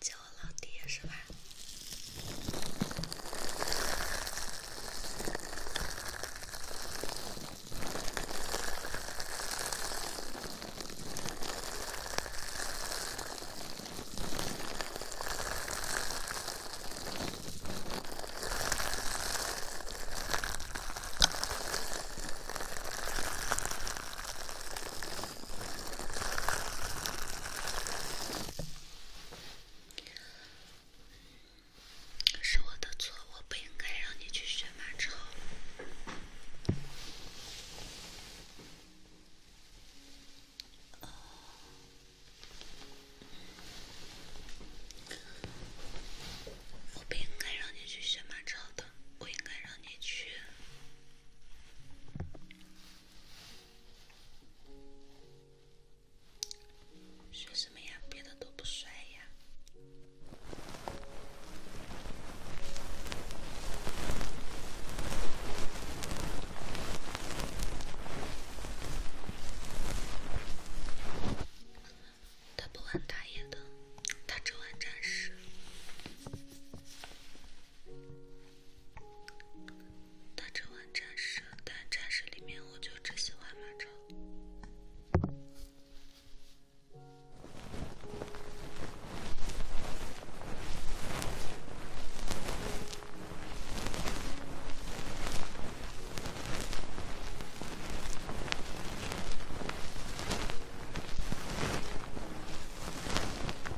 叫我老爹是吧？是我的错，我不应该让你去学马超。哦，我不应该让你去学马超的，我应该让你去。学什么呀？别的都不帅呀。他不玩打野的，他只玩战士。他只玩战士，但战士里面我就只喜欢马超。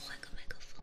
换个麦克风。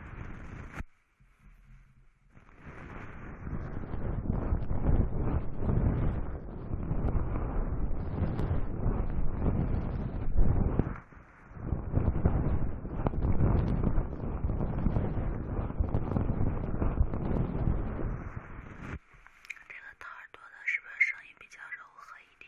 这个大耳朵的是不是声音比较柔和一点？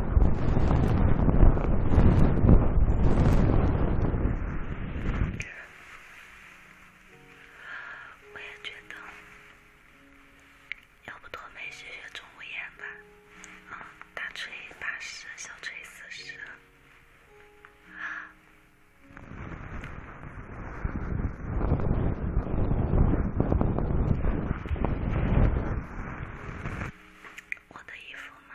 我也觉得，要不多妹学学钟无艳吧？啊，大锤八十，小锤四十。我的衣服吗？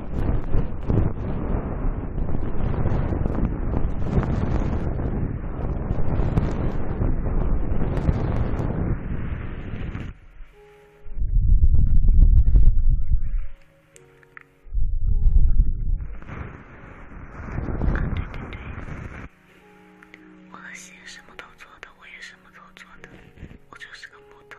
啊，我的心什么都做的，我也什么都做的，我就是个木头。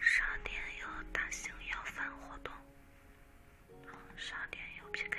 商店有大型摇饭活动，商店有 PK。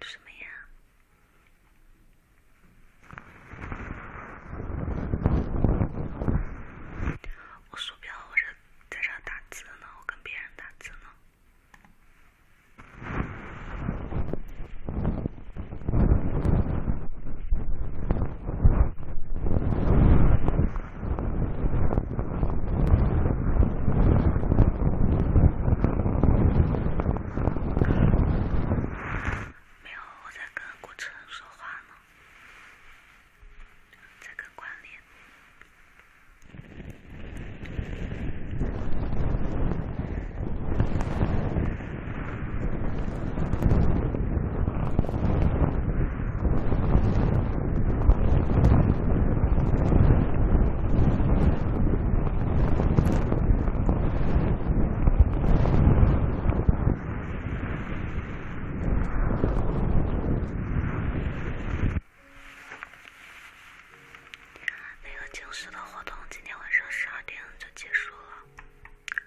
什么呀？我鼠标或者在这打字呢，我跟别人打字呢。没有，我在跟顾城说话呢，在跟关联。那个正式的活动今天晚上十二点就结束了，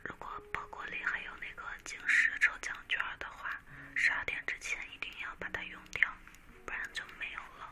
如果。包裹里还有那个晶石抽奖券的话，十二点之前一定要把它用掉，不然就没有了。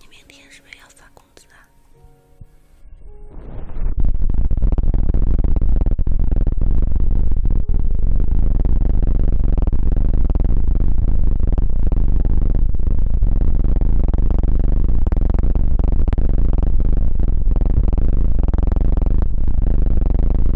你明天是不是要发工资啊？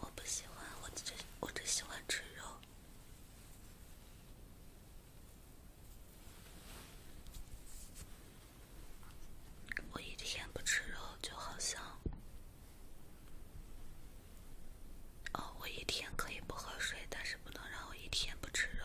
我不喜欢，我只我只喜欢吃肉。我一天不吃肉，就好像。哦，我一天可以不喝水，但是不能让我一天不吃肉。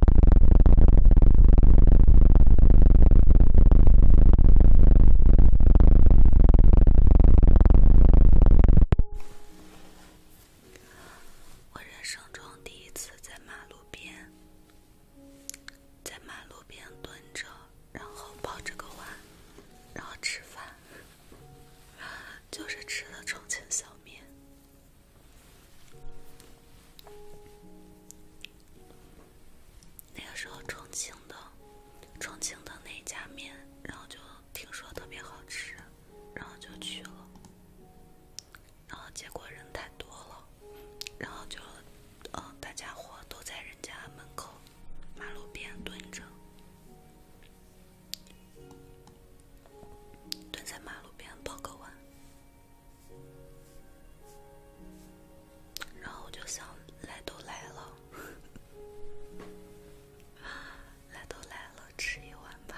我人生中第一次在马路边，在马路边蹲着，然后抱着个碗，然后吃饭，就是吃的重庆小面。那个时候，重庆的重庆的那家面，然后就听说特别好吃，然后就去了，然后结果人太多了，然后就，呃，大家伙都在人家门口、马路边蹲着，蹲在马路边抱个碗。然后我就想，来都来了，来都来了，吃一碗吧。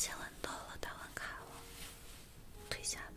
千万到了，打完卡了，退下吧。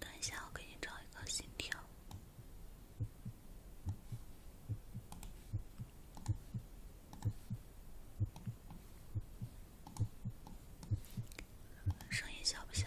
等一下，我给你找一个心跳。声音小不小？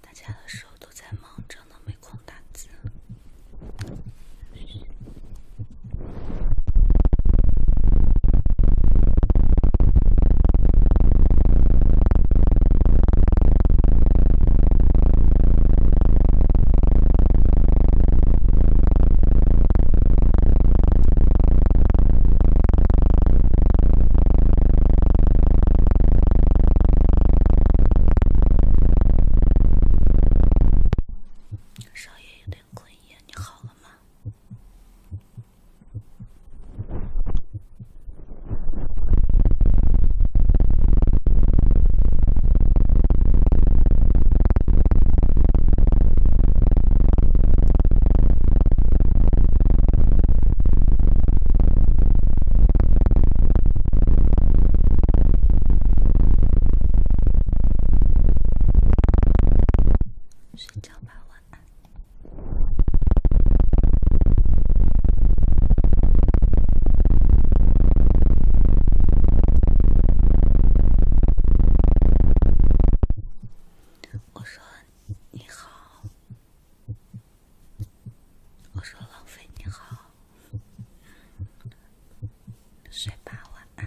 大家的时候都在忙，真的没空打字。少爷有点困耶，你好了吗？睡觉吧，晚安。我说你好。我说：“浪费你好，睡吧，晚安。”